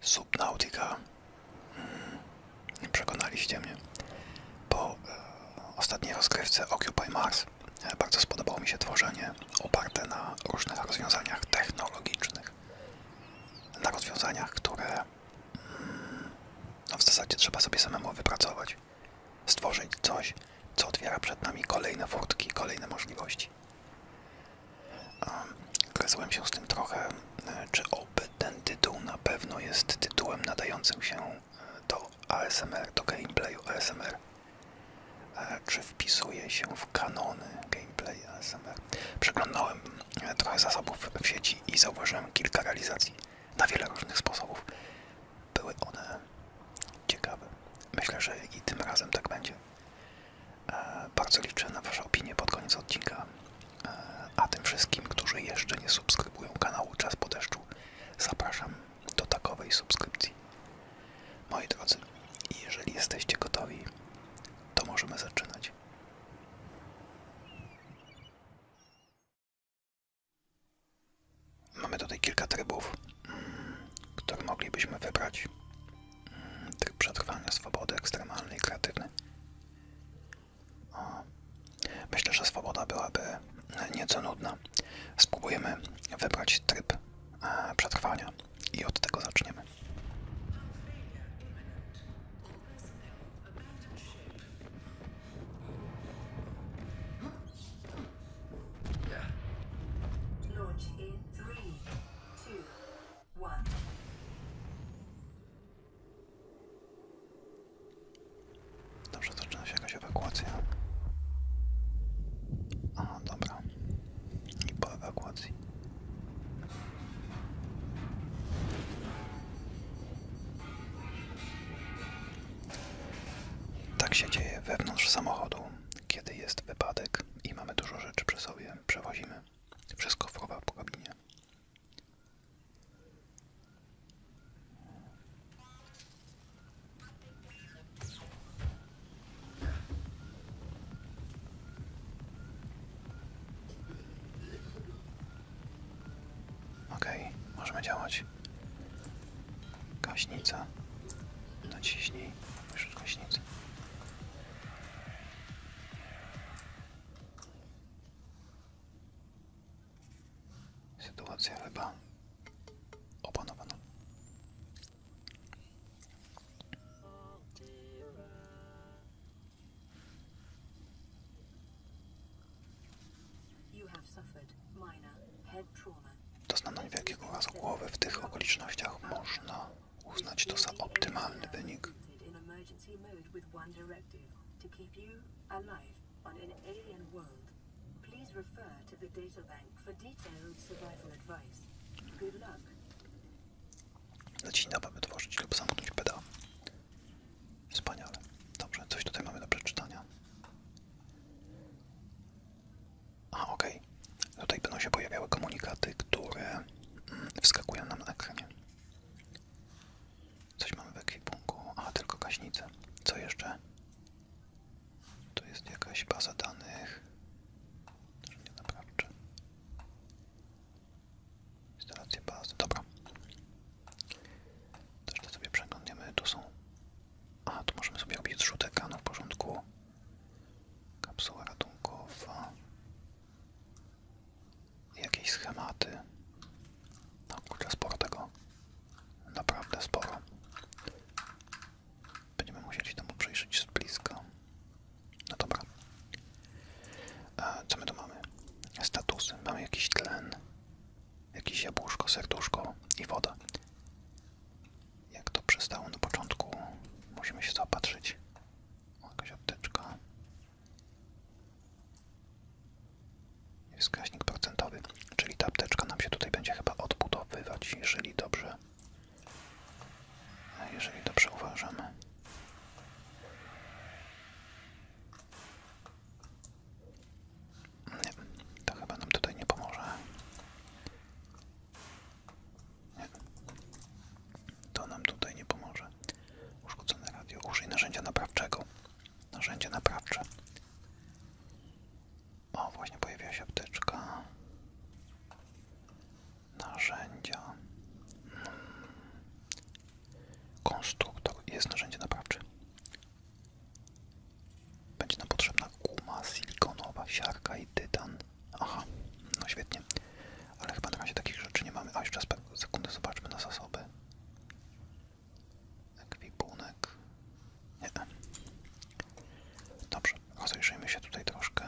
Subnautica. Hmm, przekonaliście mnie. Po e, ostatniej rozgrywce Occupy Mars e, bardzo spodobało mi się tworzenie oparte na różnych rozwiązaniach technologicznych. Na rozwiązaniach, które hmm, no w zasadzie trzeba sobie samemu wypracować. Stworzyć coś, co otwiera przed nami kolejne furtki, kolejne możliwości robić. się z tym trochę, e, czy oby ten tytuł na pewno jest tytułem nadającym się e, do ASMR, do gameplayu ASMR. E, czy wpisuje się w kanony gameplay ASMR? Przeglądałem trochę zasobów w sieci i zauważyłem kilka realizacji na wiele różnych sposobów. Były one ciekawe. Myślę, że i tym razem tak będzie. E, bardzo liczę na waszą opinię pod koniec odcinka. E, a tym wszystkim, którzy jeszcze nie subskrybują kanału Czas po deszczu, zapraszam do takowej subskrypcji. Moi drodzy, jeżeli jesteście gotowi, to możemy zaczynać. Mamy tutaj kilka trybów, mm, które moglibyśmy wybrać tryb przetrwania swobody ekstremalnej i kreatywnej. Myślę, że swoboda byłaby nieco nudna. Spróbujemy wybrać tryb e, przetrwania i od tego zaczniemy. Launch in 3, 2, one. Dobrze, zaczyna się jakaś ewakuacja. Aha, dobra. I po ewakuacji. Tak się dzieje wewnątrz samochodu, kiedy jest wypadek i mamy dużo rzeczy przy sobie, przewozimy. Wszystko chowa po kabinie. Okej, możemy działać. Gaśnica. Naciśnij. Już gaśnicę. Sytuacja chyba opanowana. Doznano niewielkiego urazu głowy. W tych okolicznościach można uznać to za optymalny wynik. Lecina mamy tworzyć lub zamknąć peda. Wspaniale. Dobrze, coś tutaj mamy do przeczytania. A, okej. Tutaj będą się pojawiały komunikaty, które mm, wskakują nam na ekranie. Coś mamy w ekwipunku. A, tylko gaśnicę. Co jeszcze? Tu jest jakaś baza danych. Nie naprawczy. Instalacja bazy. Dobra. Teraz to sobie przeglądamy. Tu są... A, tu możemy sobie robić zrzut ekranu w porządku. Kapsuła ratunkowa jakieś schematy. No kurczę, sporo tego. Naprawdę sporo. Będziemy musieli temu przyjrzeć z bliska. No dobra. E, co my tu mamy? Statusy. Mamy jakiś tlen, jakieś jabłuszko, serduszko i woda. Jak to przestało na początku, musimy się zaopatrzyć. O, jakaś apteczka wskaźnik procentowy, czyli ta apteczka nam się tutaj będzie chyba odbudowywać, jeżeli dobrze a jeżeli dobrze uważamy. Nie, to chyba nam tutaj nie pomoże. To nam tutaj nie pomoże. Uszkodzone radio. Użyj narzędzia naprawczego. Narzędzie naprawcze. O, właśnie pojawiła się apteczka. Narzędzia. Hmm. Konstruktor. Jest narzędzie naprawcze. Będzie nam potrzebna kuma, silikonowa, siarka i tytan. Aha, no świetnie. Ale chyba na razie takich rzeczy nie mamy. A jeszcze sekundy, zobaczmy na zasoby. Ekwipunek. Nie. Dobrze, rozejrzyjmy się tutaj troszkę.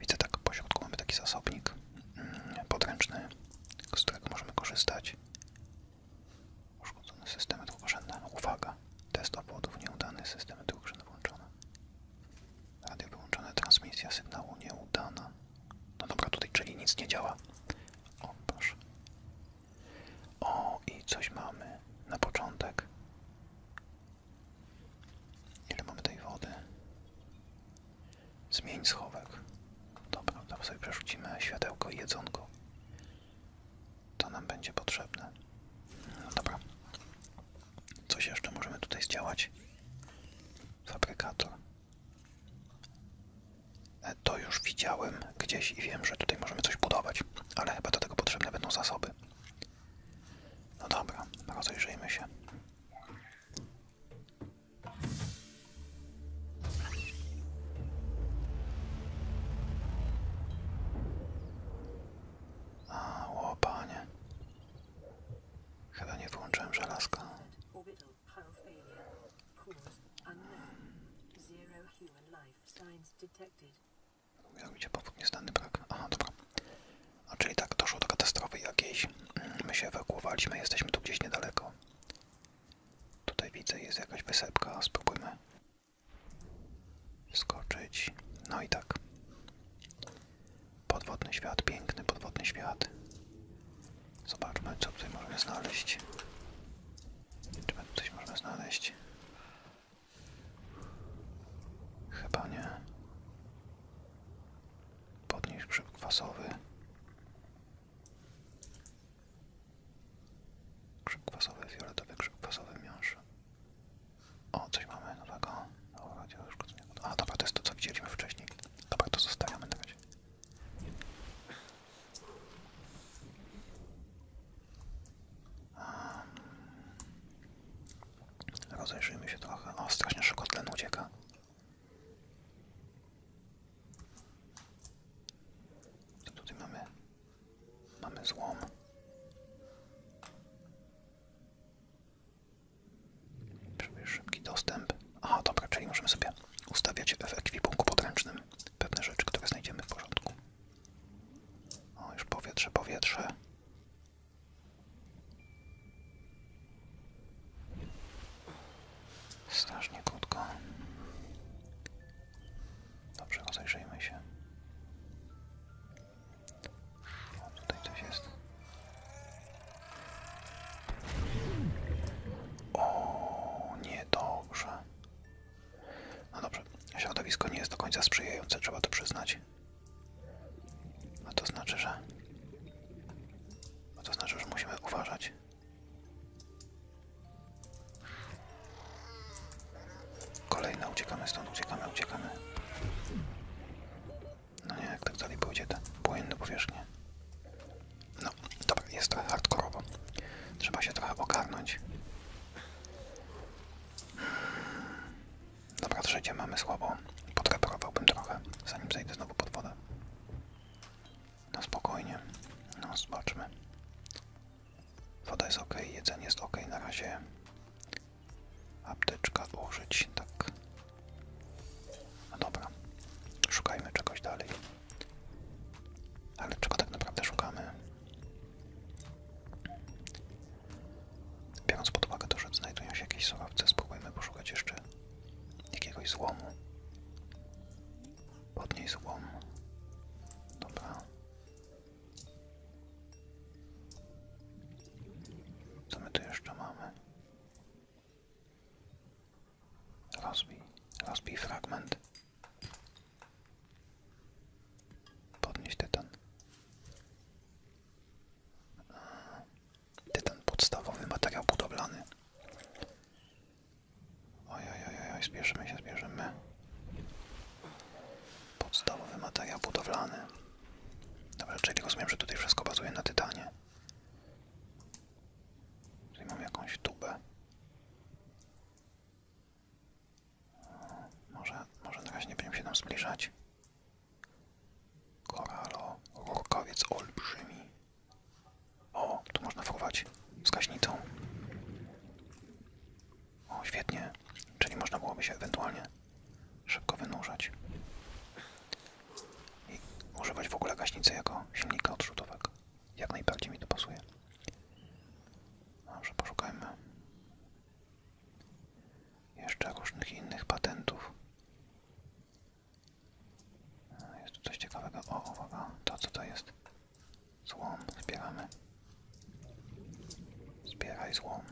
Widzę tak, po środku mamy taki zasobnik mm, podręczny, z którego możemy korzystać. Uszkodzone systemy drugorzędne. Uwaga! Test obwodów nieudany, systemy drugorzędne włączone. Radio wyłączone, transmisja sygnału nieudana. No dobra, tutaj czyli nic nie działa. O, proszę. O, i coś mamy na początek. Ile mamy tej wody? Zmień schowek. Dobra, teraz sobie przerzucimy światełko jedzonko. To nam będzie potrzebne. No dobra. Coś jeszcze możemy tutaj zdziałać fabrykator. E, to już widziałem gdzieś i wiem, że tutaj możemy coś budować, ale chyba do tego potrzebne będą zasoby. No dobra, rozejrzyjmy się. A, o panie. Chyba nie wyłączyłem żelazka. Miał być powód nieznany brak. Aha, dobra. A czyli tak, doszło do katastrofy jakiejś. My się ewakuowaliśmy, jesteśmy tu gdzieś niedaleko. Tutaj widzę, jest jakaś wysepka. Spróbujmy skoczyć. No i tak. Podwodny świat, piękny podwodny świat. Zobaczmy, co tutaj możemy znaleźć. Czy my coś możemy znaleźć? Chyba nie. Podnieś grzyb kwasowy. Grzyb kwasowy, fioletowy grzyb kwasowy miąż. O, coś mamy nowego. Dobra, no, działa uszkodzenia. A dobra, to jest to co widzieliśmy wcześniej. Dobra, to zostawiamy na razie. Rozejrzyjmy się trochę. O, strasznie szybko tlen ucieka. Co tutaj mamy? Mamy złom. Szybki dostęp. Aha, dobra, czyli możemy sobie ustawiać w ekwipunku podręcznym pewne rzeczy, które znajdziemy w porządku. O, już powietrze, powietrze. Strasznie krótko. Dobrze, rozejrzyjmy się. O, tutaj coś jest. O, niedobrze. No dobrze, środowisko nie jest do końca sprzyjające, trzeba to przyznać. A to znaczy, że... A to znaczy, że musimy uważać. Kolejne uciekamy stąd, uciekamy, uciekamy. No nie, jak tak dalej pójdzie, to płynne powierzchnie. No, dobra, jest trochę hardkorowo. Trzeba się trochę ogarnąć. Dobra, trzecie mamy słabo. Podreparowałbym trochę, zanim zejdę znowu pod wodę. No spokojnie. No, zobaczmy. Woda jest ok, jedzenie jest ok na razie. Apteczka użyć, tak. No dobra, szukajmy czegoś dalej. Ale czego tak naprawdę szukamy? Biorąc pod uwagę to, że znajdują się jakieś surowce, spróbujmy poszukać jeszcze jakiegoś złomu. Podnieś złom. Dobra. Co my tu jeszcze mamy? Rozbij, rozbij fragment. Podnieś tytan. E, tytan podstawowy, materiał budowlany. Oj, oj, oj, oj, zbierzemy się, zbierzemy. Podstawowy materiał budowlany. Dobra, czyli rozumiem, że tutaj wszystko bazuje na tytanie. Tutaj mam jakąś tubę. Hmm, może, może na razie nie będziemy się nam zbliżać. Koralo, rurkowiec olbrzymi. O, tu można wchować. z O, świetnie. Czyli można byłoby się ewentualnie szybko wynurzać. I używać w ogóle gaśnicy jako silnika odrzutowego. Jak najbardziej mi to pasuje. Dobrze, poszukajmy jeszcze różnych innych patentów. E, jest tu coś ciekawego. O, uwaga, to co to jest? Złom, zbieramy. Zbieraj złom.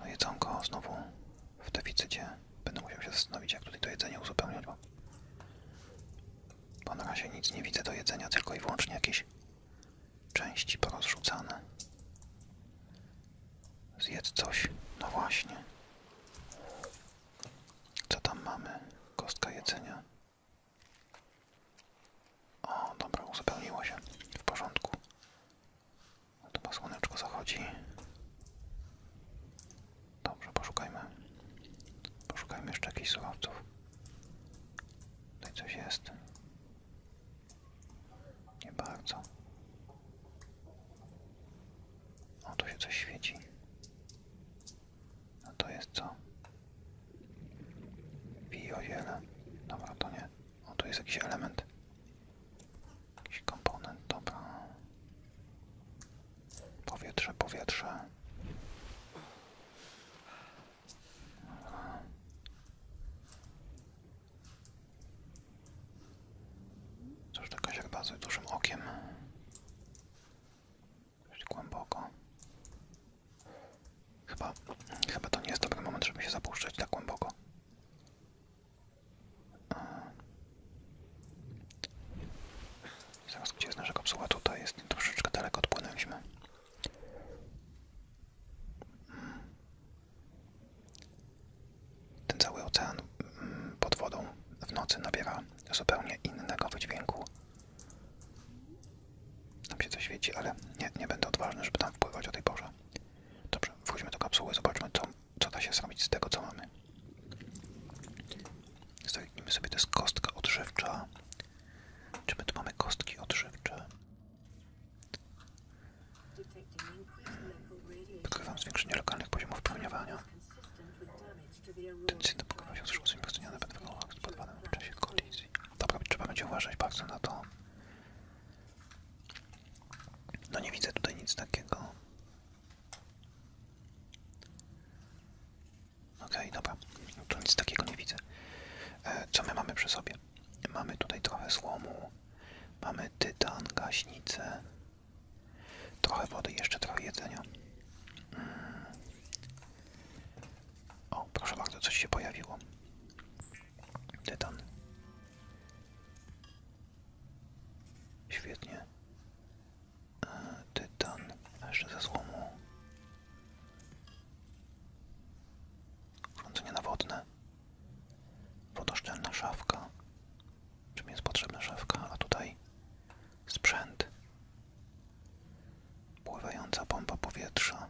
No jedzonko znowu w deficycie. Będę musiał się zastanowić, jak tutaj to jedzenie uzupełniać, bo, bo na razie nic nie widzę do jedzenia, tylko i wyłącznie jakieś części porozrzucane. Zjedz coś. No właśnie. Co tam mamy? Kostka jedzenia. O, dobra, uzupełniło się. W porządku. No chyba słoneczko zachodzi. Dobrze, poszukajmy. Poszukajmy jeszcze jakichś surowców. Tutaj coś jest. Nie bardzo. O, tu się coś świeci. A no to jest co? Bioziele. Dobra, to nie. O, tu jest jakiś element. Jakiś komponent, dobra. Powietrze, powietrze. Dobra. Coś to Kaziak bazuje dużym okiem. Dość głęboko. Chyba, chyba to nie jest dobry moment, żeby się zapuszczać tak głęboko. Zaraz gdzie jest nasza kapsuła? Tutaj jest nie troszeczkę daleko odpłynęliśmy. Ten cały ocean mm, pod wodą w nocy nabiera zupełnie innego wydźwięku tam się coś świeci, ale nie, będę odważny, żeby tam wpływać o tej porze. Dobrze, wróćmy do kapsuły, zobaczmy, co, co da się zrobić z tego, co mamy. Zajmijmy sobie, to jest kostka odżywcza. Czy my tu mamy kostki odżywcze? Podkrywam zwiększenie lokalnych poziomów promieniowania. Tendencja do pokrywania się z szóstym promieniowania będą wyglądać pod w czasie kolizji. Dobra, trzeba będzie uważać bardzo na to. No nie widzę tutaj nic takiego. Okej, dobra. No tu nic takiego nie widzę. E, co my mamy przy sobie? Mamy tutaj trochę słomu, mamy tytan, gaśnicę, trochę wody, jeszcze trochę jedzenia. Mm. O, proszę bardzo, coś się pojawiło. Tytan. Świetnie. E, tytan. A jeszcze ze złomu. Urządzenie nawodne. Wodoszczelna szafka. Czym jest potrzebna szafka? A tutaj sprzęt pływająca bomba powietrza.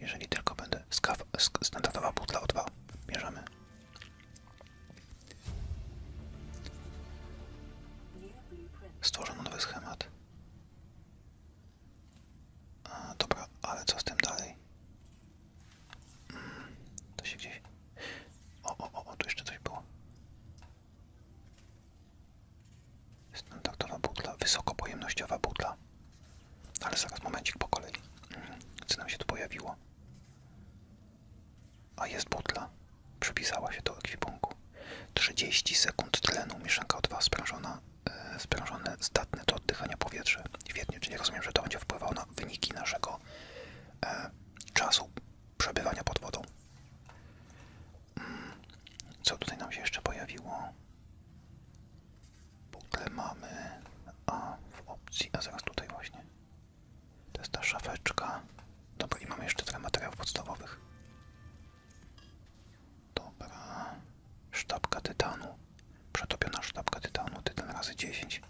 Jeżeli tylko będę... Skaw, sk standardowa butla O2. Bierzemy. Stworzono nowy schemat. A, dobra, ale co z tym dalej? Mm, to się gdzieś... O, o, o, o, tu jeszcze coś było. Standardowa butla, wysokopojemnościowa butla. Ale zaraz, momencik po kolei. Co nam się tu pojawiło? A jest butla. Przypisała się do ekwipunku. 30 sekund tlenu, mieszanka O2 sprężona, e, sprężone, zdatne do oddychania powietrze. czy nie rozumiem, że to będzie wpływało na wyniki naszego e, czasu przebywania pod wodą. Mm. Co tutaj nam się jeszcze pojawiło? Bukle mamy, a w opcji, a zaraz tutaj właśnie. To jest ta szafeczka. Dobra, i mamy jeszcze trochę materiałów podstawowych. Dobra. Sztabka tytanu. Przetopiona sztabka tytanu, tytan razy 10.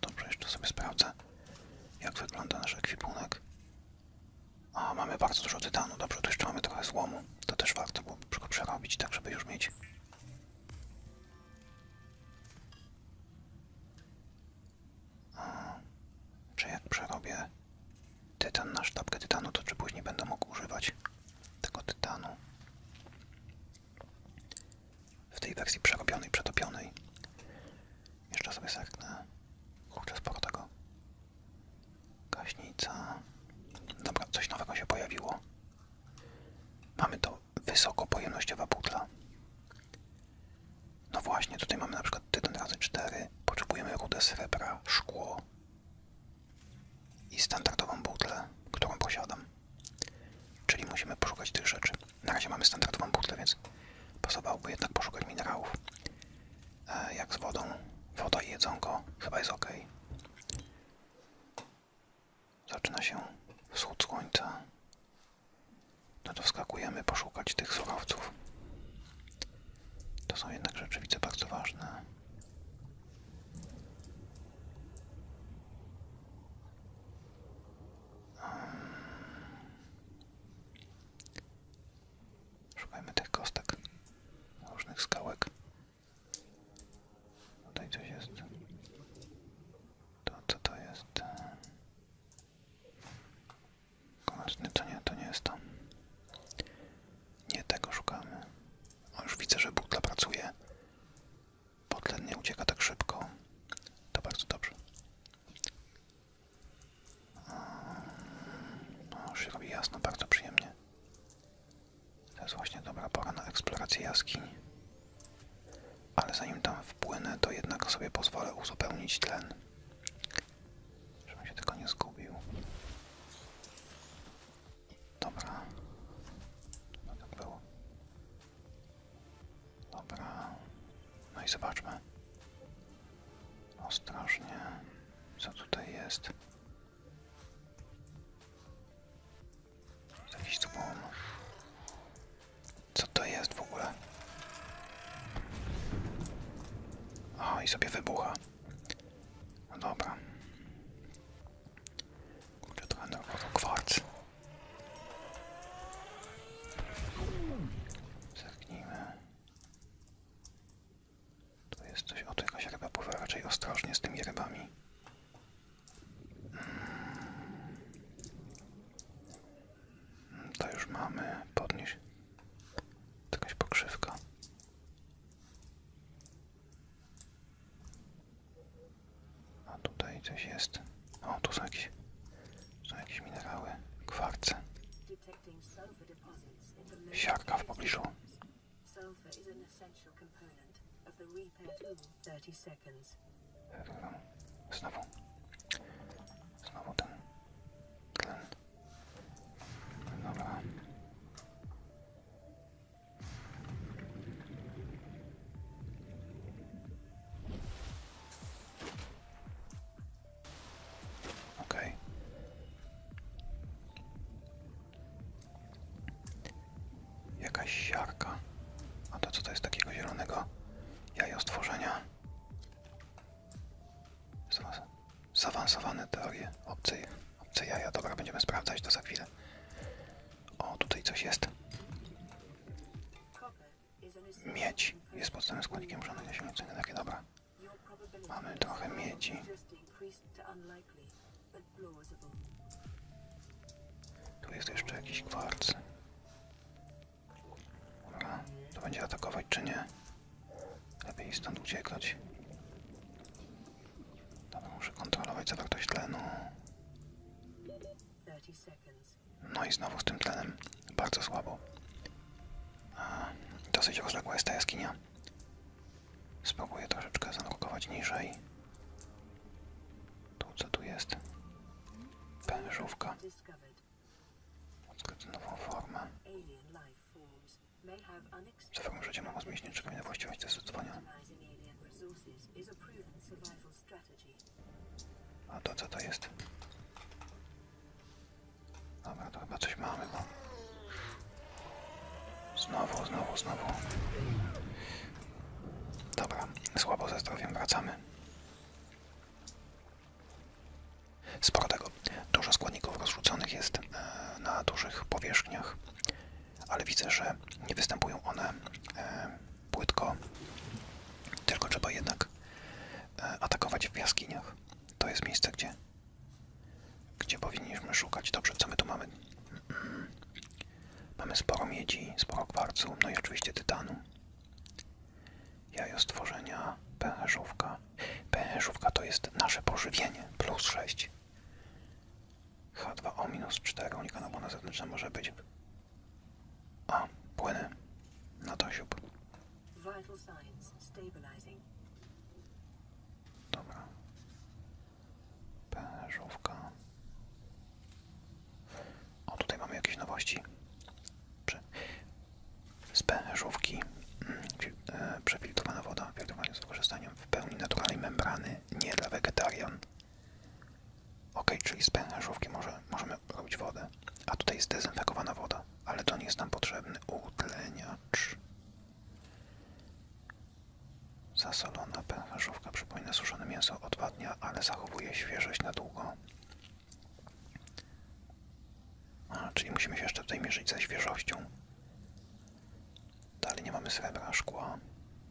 Dobrze, jeszcze sobie sprawdzę, jak wygląda nasz ekwipunek. A, mamy bardzo dużo tytanu. Dobrze, tu jeszcze mamy trochę złomu. To też warto było go przerobić, tak żeby już mieć. A, czy jak przerobię tytan na sztabkę tytanu, to czy później będę mógł używać tego tytanu? w tej wersji przerobionej, przetopionej. Jeszcze sobie serknę. Kurczę, sporo tego. Gaśnica. Dobra, coś nowego się pojawiło. Mamy to wysokopojemnościowa butla. No właśnie, tutaj mamy na przykład tytan razy 4. Potrzebujemy rudę srebra, szkło i standardową butlę, którą posiadam. Czyli musimy poszukać tych rzeczy. Na razie mamy standardową butlę, więc pasowałoby jednak poszukać minerałów. E, jak z wodą, woda i jedzonko chyba jest ok. Zaczyna się wschód słońca. No to wskakujemy poszukać tych surowców. To są jednak rzeczy, widzę, bardzo ważne. Ehm. Szukajmy tych kostek, różnych skałek. Tutaj coś jest. To co to jest? Konaczny, to nie, to nie jest to. Nie tego szukamy. O, już widzę, że butla pracuje. Potlen nie ucieka tak szybko. To bardzo dobrze. Mm, no, już się robi jasno, bardzo przyjemnie. To jest właśnie dobra pora na eksplorację jaskini. Ale zanim tam wpłynę, to jednak sobie pozwolę uzupełnić tlen. Żebym się tylko nie zgubił. Dobra. No tak było. Dobra. No i zobaczmy. Ostrożnie. Co tutaj jest? Jakiś dzwon. Co to jest w ogóle? O, i sobie wybucha. No dobra. Kurde, trochę nerwowo. Kwarc. Zerknijmy. Tu jest coś, o to jakaś ryba pływa, raczej ostrożnie z tymi rybami. Hmm. Hmm, to już mamy, podnieś. Jakaś pokrzywka. A tutaj coś jest. O, tu są jakieś, są jakieś minerały. Kwarce. Siarka w pobliżu. Znowu. Znowu ten tlen. Dobra. Ok. Jakaś siarka. A to co to jest takiego zielonego? Jaja stworzenia. Zaawansowane teorie. Obce, obce jaja. Dobra, będziemy sprawdzać to za chwilę. O, tutaj coś jest. Miedź jest podstawowym składnikiem żadnych zasilnicy Takie Dobra. Mamy trochę miedzi. Tu jest jeszcze jakiś kwarc. Dobra, to będzie atakować czy nie? Lepiej stąd uciekać. Dobra, muszę kontrolować zawartość tlenu. 30 seconds. No i znowu z tym tlenem bardzo słabo. Dosyć rozległa jest ta jaskinia. Spróbuję troszeczkę zanurkować niżej. Tu co tu jest? Pężówka. Odkryć nową formę. Za formę życia mam zmienić niczego nie właściwość testowania. A to co to jest? Dobra, to chyba coś mamy, bo... Znowu, znowu, znowu. Dobra, słabo ze zdrowiem wracamy. Sporo tego. Dużo składników rozrzuconych jest e, na dużych powierzchniach, ale widzę, że nie występują one e, płytko, tylko trzeba jednak e, atakować w jaskiniach. To jest miejsce, gdzie, gdzie powinniśmy szukać. Dobrze, co my tu mamy? Mamy sporo miedzi, sporo kwarcu, no i oczywiście tytanu. Jajo stworzenia, pęcherzówka. Pęcherzówka to jest nasze pożywienie, plus 6. H2O minus 4, unikana błona zewnętrzna może być a, płynę. Na to siup. Dobra. Pężówka. O, tutaj mamy jakieś nowości. z pężówki mm, e, przefiltrowana woda, filtrowana z wykorzystaniem w pełni naturalnej membrany, nie dla wegetarian, Ok, czyli z pęcherzówki możemy robić wodę. A tutaj jest dezynfekowana woda, ale to nie jest nam potrzebny utleniacz. Zasolona pęcherzówka przypomina suszone mięso odwadnia, ale zachowuje świeżość na długo. A, czyli musimy się jeszcze tutaj mierzyć ze świeżością. Dalej nie mamy srebra, szkła.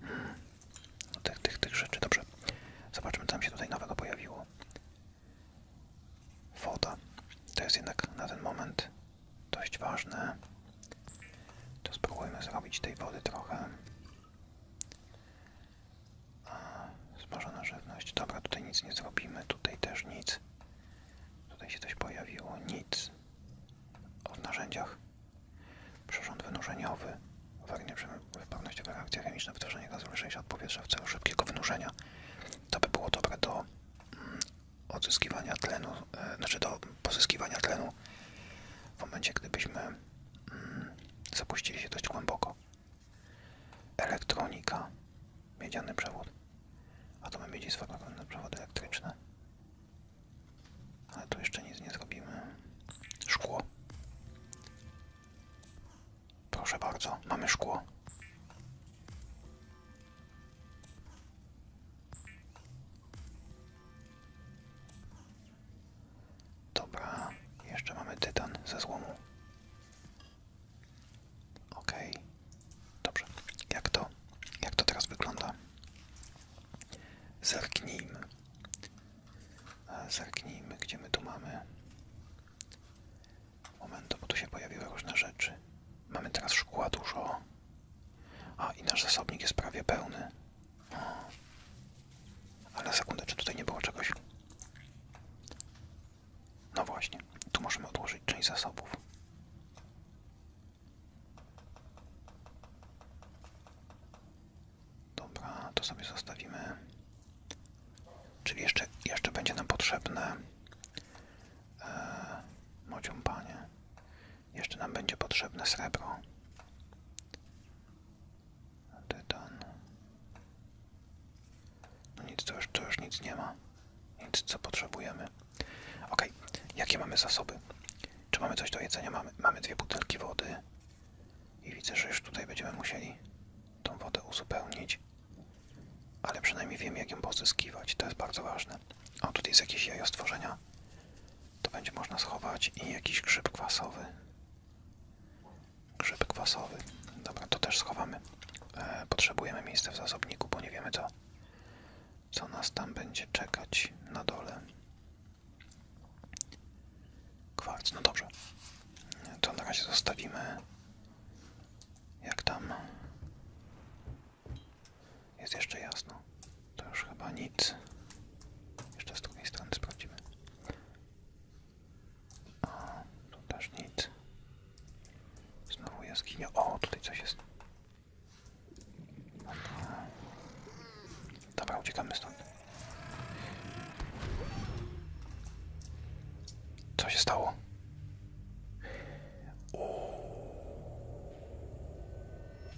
Hmm tych, tych, rzeczy. Dobrze. Zobaczmy, co się tutaj nowego pojawiło. Woda. To jest jednak na ten moment dość ważne. To spróbujmy zrobić tej wody trochę. A, smażona żywność. Dobra, tutaj nic nie zrobimy. Tutaj też nic. Tutaj się coś pojawiło. Nic. O narzędziach przyrząd wynurzeniowy, uwagnie pewnościowa reakcja chemiczna, wytworzenie gazu lżejsza od powietrza w celu szybkiego wynurzenia. To by było dobre do mm, odzyskiwania tlenu, e, znaczy do pozyskiwania tlenu w momencie, gdybyśmy mm, zapuścili się dość głęboko. Elektronika, miedziany przewód, a atomy miedzi sfabrykowany przewody elektryczne. Ale tu jeszcze nic nie zrobimy. Szkło, Proszę bardzo, mamy szkło. Dobra, jeszcze mamy tytan ze złomu. Ok. dobrze. Jak to, jak to teraz wygląda? Zerknijmy. Zerknijmy, gdzie my tu mamy. Moment, bo tu się pojawiły różne rzeczy. Mamy teraz szkła dużo. A, i nasz zasobnik jest prawie pełny. O. Ale sekundę, czy tutaj nie było czegoś? No właśnie, tu możemy odłożyć część zasobów. Dobra, to sobie zostawimy. Czyli jeszcze, jeszcze będzie nam potrzebne e, panie, Jeszcze nam będzie potrzebne srebro. Tytan. No nic, to już, nic nie ma. Nic, co potrzebujemy. Ok, jakie mamy zasoby? Czy mamy coś do jedzenia? Mamy, mamy dwie butelki wody, i widzę, że już tutaj będziemy musieli tą wodę uzupełnić. Ale przynajmniej wiem, jak ją pozyskiwać. To jest bardzo ważne. O, tutaj jest jakieś jajo stworzenia. To będzie można schować. I jakiś grzyb kwasowy. Grzyb kwasowy. Dobra, to też schowamy. E, potrzebujemy miejsca w zasobniku, bo nie wiemy, co, co nas tam będzie czekać na dole. Kwarc, no dobrze. To na razie zostawimy. Jak tam? Jest jeszcze jasno. To już chyba nic. Jeszcze z drugiej strony sprawdzimy. O, tu też nic. Znowu jest jaskinia. O, tutaj coś jest. Dobra, uciekamy stąd. Co się stało?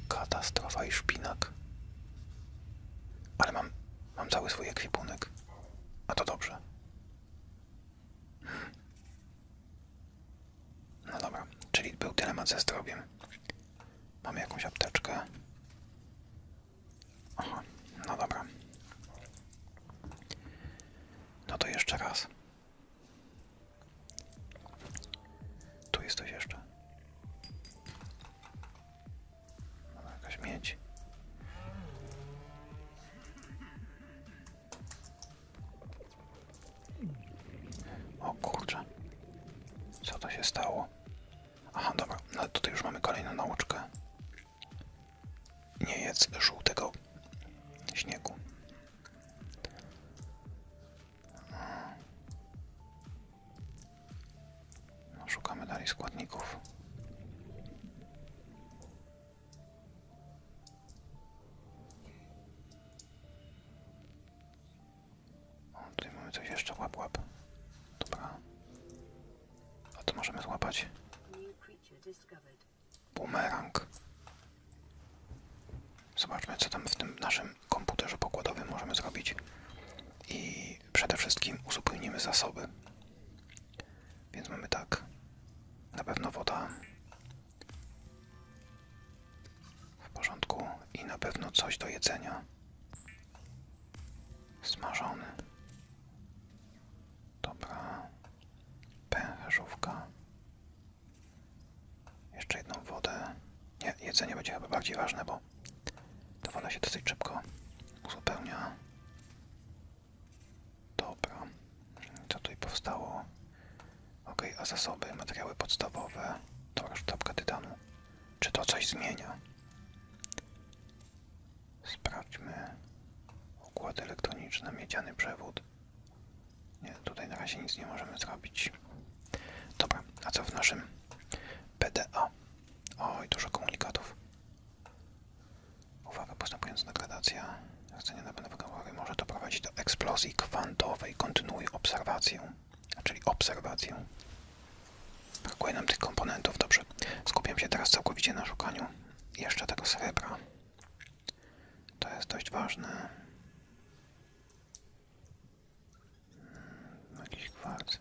katastrofa i szpinak. Ale mam, mam cały swój ekwipunek. A to dobrze. No dobra, czyli był dylemat ze zdrowiem. Mamy jakąś apteczkę. Aha, no dobra. No to jeszcze raz. Tu jest coś jeszcze. Dobra, jakaś miedź. O kurczę. Co to się stało? Aha, dobra. No tutaj już mamy kolejną nauczkę. Nie jest żółtego śniegu. No, szukamy dalej składników. O, tutaj mamy jeszcze, łap, łap. Dobra. A to możemy złapać. Bumerang. Zobaczmy, co tam w tym naszym komputerze pokładowym możemy zrobić. I przede wszystkim uzupełnimy zasoby. Więc mamy tak. Na pewno woda. W porządku. I na pewno coś do jedzenia. Smażony. Dobra. Pęcherzówka. Jeszcze jedną wodę. Nie, jedzenie będzie chyba bardziej ważne, bo ta woda się dosyć szybko uzupełnia. Dobra. Co tutaj powstało? Ok, a zasoby, materiały podstawowe. Dobra, sztabka tytanu. Czy to coś zmienia? Sprawdźmy układ elektroniczny, miedziany przewód. Nie, tutaj na razie nic nie możemy zrobić. Dobra, a co w naszym PDA? Oj, dużo komunikatów. Uwaga, postępująca degradacja rdzenia napędowego rury może to doprowadzić do eksplozji kwantowej. Kontynuuj obserwację, czyli obserwację. Brakuje nam tych komponentów, dobrze. Skupiam się teraz całkowicie na szukaniu jeszcze tego srebra. To jest dość ważne. Hmm, jakiś kwarc.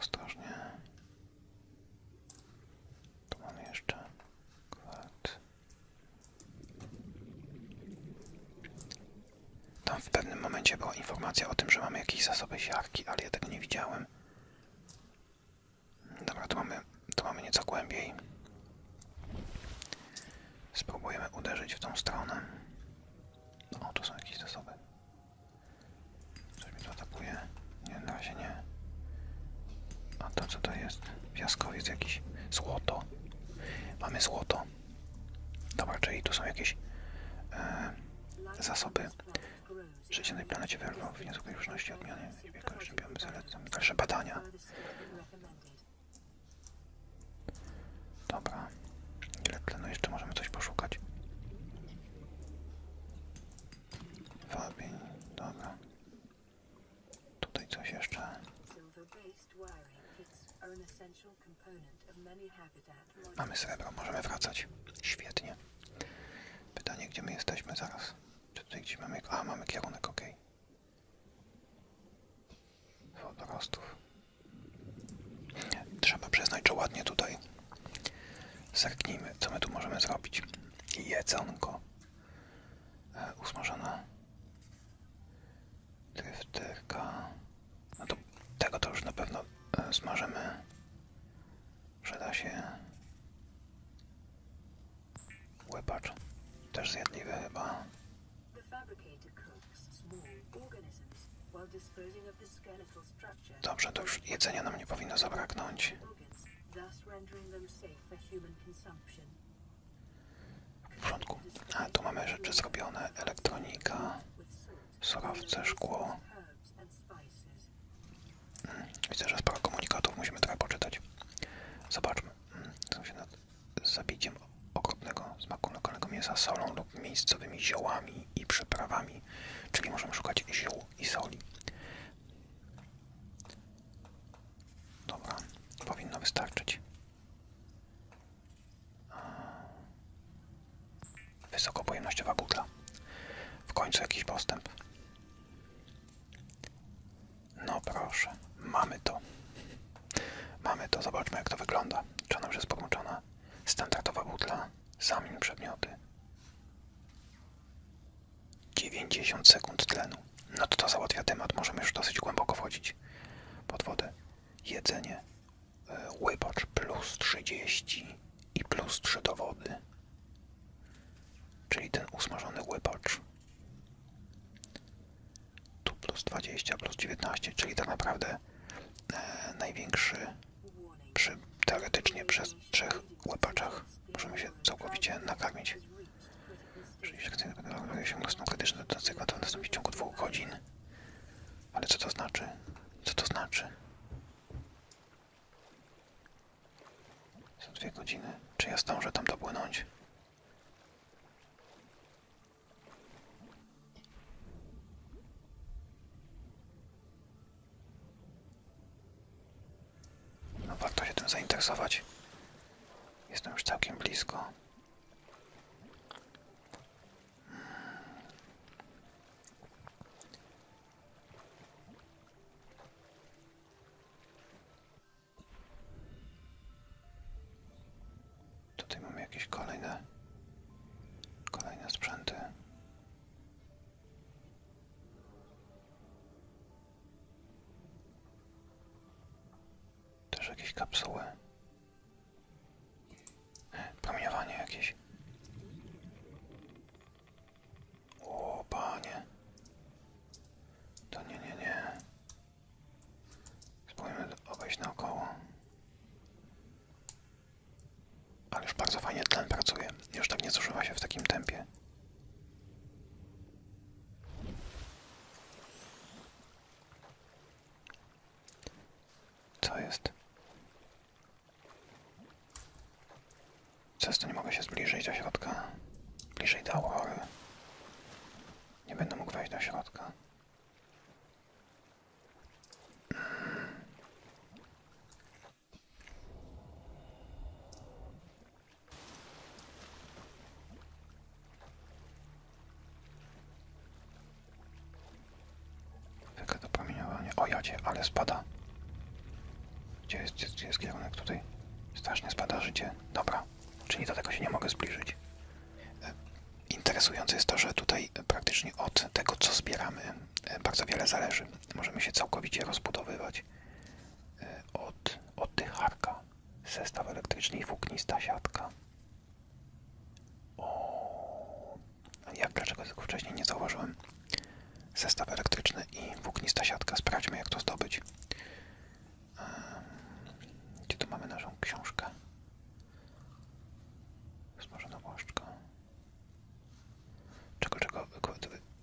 Ostrożnie. Tu mamy jeszcze kwadrz Tam w pewnym momencie była informacja o tym, że mamy jakieś zasoby siarki, ale ja tego nie widziałem widziałem. Dobra, to mamy, tu mamy nieco głębiej. Spróbujemy uderzyć w tą stronę. O, no, tu są jakieś zasoby. Coś mi to atakuje. Nie, na razie nie. A to co to jest? Piaskowiec jakiś. Złoto. Mamy złoto. Dobra, czyli tu są jakieś e, zasoby Życie na tej planecie wyrwał w niezwykłej różności odmiany i wielkości biomy zalecam dalsze badania. Dobra. Ile tlenu jeszcze możemy coś poszukać? Wabień, dobra. Tutaj coś jeszcze. Mamy srebro, możemy wracać. Świetnie. Pytanie, gdzie my jesteśmy zaraz? Czy tutaj gdzie mamy... A, mamy kierunek, ok. Wodorostów. Trzeba przyznać, że ładnie tutaj. Zerknijmy, co my tu możemy zrobić. Jedzonko. E, usmażona drifterka. No to tego to już na pewno e, smażymy. Przyda się łepacz, też zjadliwy chyba. Dobrze, to już jedzenia nam nie powinno zabraknąć. W porządku. A, tu mamy rzeczy zrobione. Elektronika surowce, szkło. Mm, widzę, że sporo komunikatów musimy trochę poczytać. Zobaczmy. Mm, Są nad zabiciem okropnego smaku lokalnego mięsa solą lub miejscowymi ziołami i przyprawami, czyli możemy szukać ziół i soli. Dobra, powinno wystarczyć. Wysokopojemnościowa butla. W końcu jakiś postęp. No proszę, mamy to. Mamy to, zobaczmy jak to wygląda. Czy ona już jest podłączona? Standardowa butla, zamin przedmioty. 90 sekund tlenu. No to to załatwia temat, możemy już dosyć głęboko wchodzić pod wodę. Jedzenie, e, łybacz plus 30 i plus 3 do wody, czyli ten usmażony łypacz. Tu plus 20, plus 19, czyli tak naprawdę e, największy teoretycznie przez trzech łypaczach możemy się całkowicie nakarmić. Czyli sekcja osiągnął no, stan krytyczny do cykla to nastąpi w ciągu dwóch godzin. Ale co to znaczy? Co to znaczy? Są dwie godziny. Czy ja zdążę tam dopłynąć? No warto się tym zainteresować. Jestem już całkiem blisko. Hmm. Tutaj mamy jakieś kolejne, kolejne sprzęty. Też jakieś kapsuły. E, promieniowanie jakieś. O, panie. To nie, nie, nie. Spróbujmy obejść naokoło. Ale już bardzo fajnie tlen pracuje. Już tak nie zużywa się w takim tempie. Co jest? Przez to nie mogę się zbliżyć do środka. Bliżej do aurory. Nie będę mógł wejść do środka. Zwykle to promieniowanie. O jadzie, ale spada. Gdzie jest, gdzie, kierunek tutaj? Strasznie spada życie. Dobra, czyli do tego się nie mogę zbliżyć. E, interesujące jest to, że tutaj praktycznie od tego, co zbieramy, e, bardzo wiele zależy. Możemy się całkowicie rozbudowywać e, od tych harka, zestaw elektryczny i włóknista siatka. O, jak dlaczego tego wcześniej nie zauważyłem. Zestaw elektryczny i włóknista siatka. Sprawdźmy jak to zdobyć. Ehm, gdzie tu mamy naszą książkę? Smażona błaszczka. Czego, czego?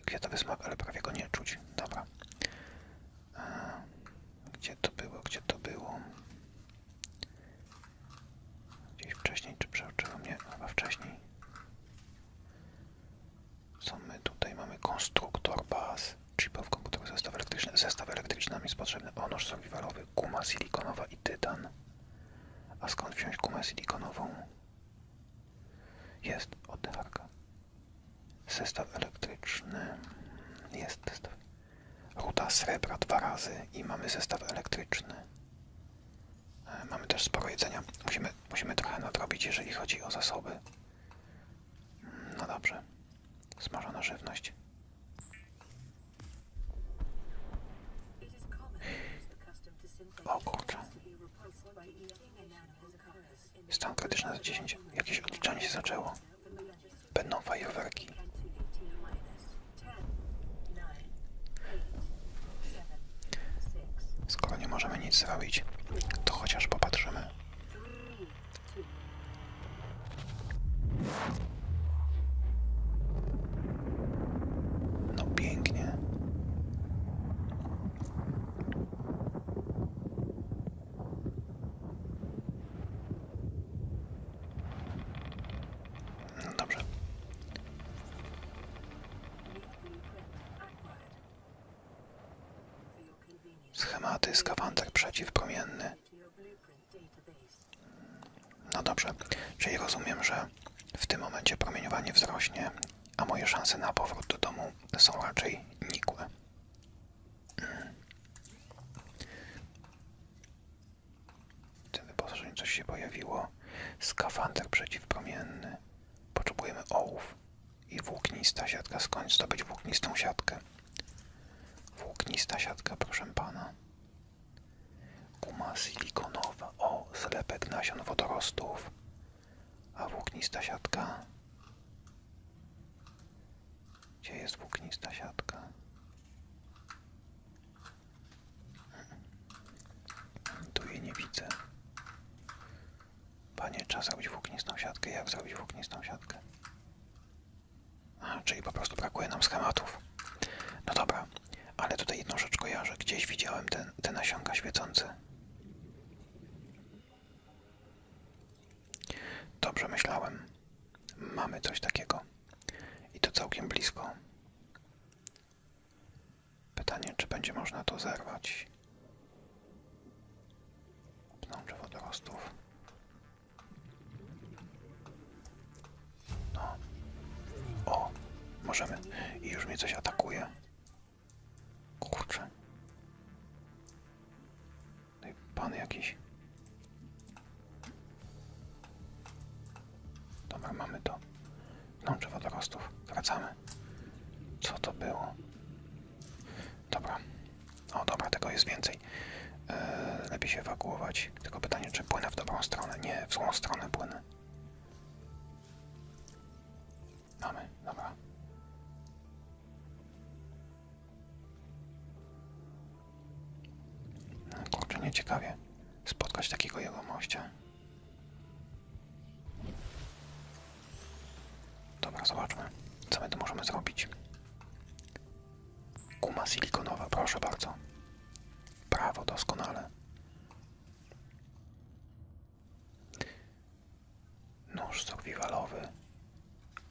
Gdzie to wysmak? ale prawie go nie czuć. Dobra. Ehm, gdzie to było? Gdzie to było? Gdzieś wcześniej, czy przeoczyło mnie? Chyba wcześniej. Co my tutaj mamy? Konstruktor baz, chipowy komputerowy, zestaw elektryczny. Zestaw elektryczny nam jest potrzebny. Onosz survivalowy, guma silikonowa i tytan. A skąd wziąć gumę silikonową? Jest, oddycharka. Zestaw elektryczny. Jest zestaw. Ruta srebra dwa razy i mamy zestaw elektryczny. E, mamy też sporo jedzenia. Musimy, musimy trochę nadrobić, jeżeli chodzi o zasoby. Mm, no dobrze. Smażona żywność. O kurczę. Stan krytyczny na 10. Jakieś odliczanie się zaczęło. Będą fajerwerki. Skoro nie możemy nic zrobić, to chociaż popatrzymy. No pięknie. No dobrze. Schematy, skawander przeciwpromienny. No dobrze, czyli rozumiem, że w tym momencie promieniowanie wzrośnie, a moje szanse na powrót do domu są raczej nikłe. W hmm. tym wyposażeniu coś się pojawiło. Skawander przeciwpromienny. Potrzebujemy ołów i włóknista siatka. Skąd zdobyć włóknistą siatkę? Włóknista siatka, proszę pana. Guma silikonowa. O, zlepek nasion wodorostów. A włóknista siatka? Gdzie jest włóknista siatka? Tu je nie widzę. Panie, trzeba zrobić włóknistą siatkę. Jak zrobić włóknistą siatkę? A, czyli po prostu brakuje nam schematów. No dobra, ale tutaj jedną rzecz kojarzę. Gdzieś widziałem te, te nasionka świecące. Dobrze myślałem. Mamy coś takiego. I to całkiem blisko. Pytanie, czy będzie można to zerwać. Pnącze wodorostów. No. O, możemy. I już mnie coś atakuje. Kurczę. No i pan jakiś. Dobra, mamy to. Pnącze wodorostów. Wracamy. Co to było? Dobra. O, dobra, tego jest więcej. E, lepiej się ewakuować. Tylko pytanie, czy płynę w dobrą stronę? Nie, w złą stronę płynę. Mamy, dobra. No, kurczę, nie ciekawie spotkać takiego jegomościa. Dobra, zobaczmy, co my tu możemy zrobić. Kuma silikonowa, proszę bardzo. Prawo, doskonale. Noż survivalowy.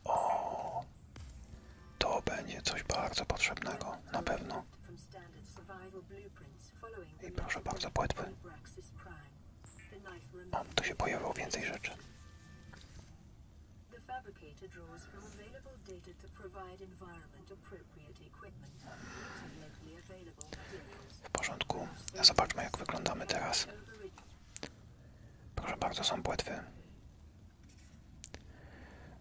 O, to będzie coś bardzo potrzebnego, na pewno. I proszę bardzo, płetwy. O, tu się pojawiło więcej rzeczy. W porządku. Zobaczmy, jak wyglądamy teraz. Proszę bardzo, są płetwy.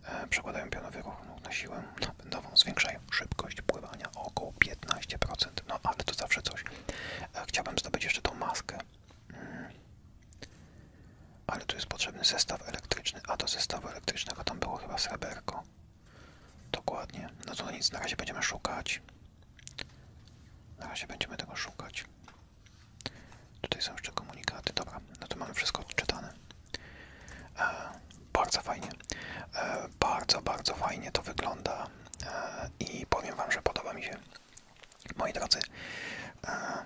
E, przekładają pionowy ruch na siłę napędową. Zwiększają szybkość pływania około 15%, no ale to zawsze coś. E, chciałbym zdobyć jeszcze tą maskę, mm. ale tu jest potrzebny zestaw elektryczny, a do zestawu elektrycznego tam było chyba sreberko. Dokładnie, no to nic, na razie będziemy szukać. Na razie będziemy tego szukać. Tutaj są jeszcze komunikaty, dobra, no tu mamy wszystko odczytane. E, bardzo fajnie, e, bardzo, bardzo fajnie to wygląda i powiem Wam, że podoba mi się. Moi drodzy, e,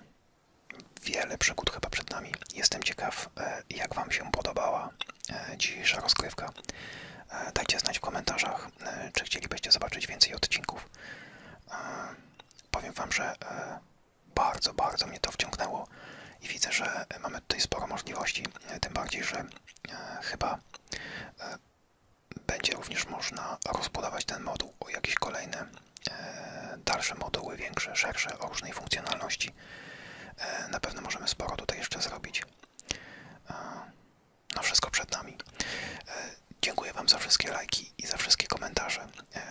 wiele przygód chyba przed nami. Jestem ciekaw, e, jak Wam się podobała e, dzisiejsza rozgrywka. Dajcie znać w komentarzach, czy chcielibyście zobaczyć więcej odcinków. Powiem Wam, że bardzo, bardzo mnie to wciągnęło i widzę, że mamy tutaj sporo możliwości, tym bardziej, że chyba będzie również można rozbudować ten moduł o jakieś kolejne e, dalsze moduły, większe, szersze, o różnej funkcjonalności. E, na pewno możemy sporo tutaj jeszcze zrobić. E, no wszystko przed nami. Dziękuję Wam za wszystkie lajki i za wszystkie komentarze.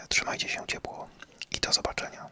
Trzymajcie się ciepło i do zobaczenia.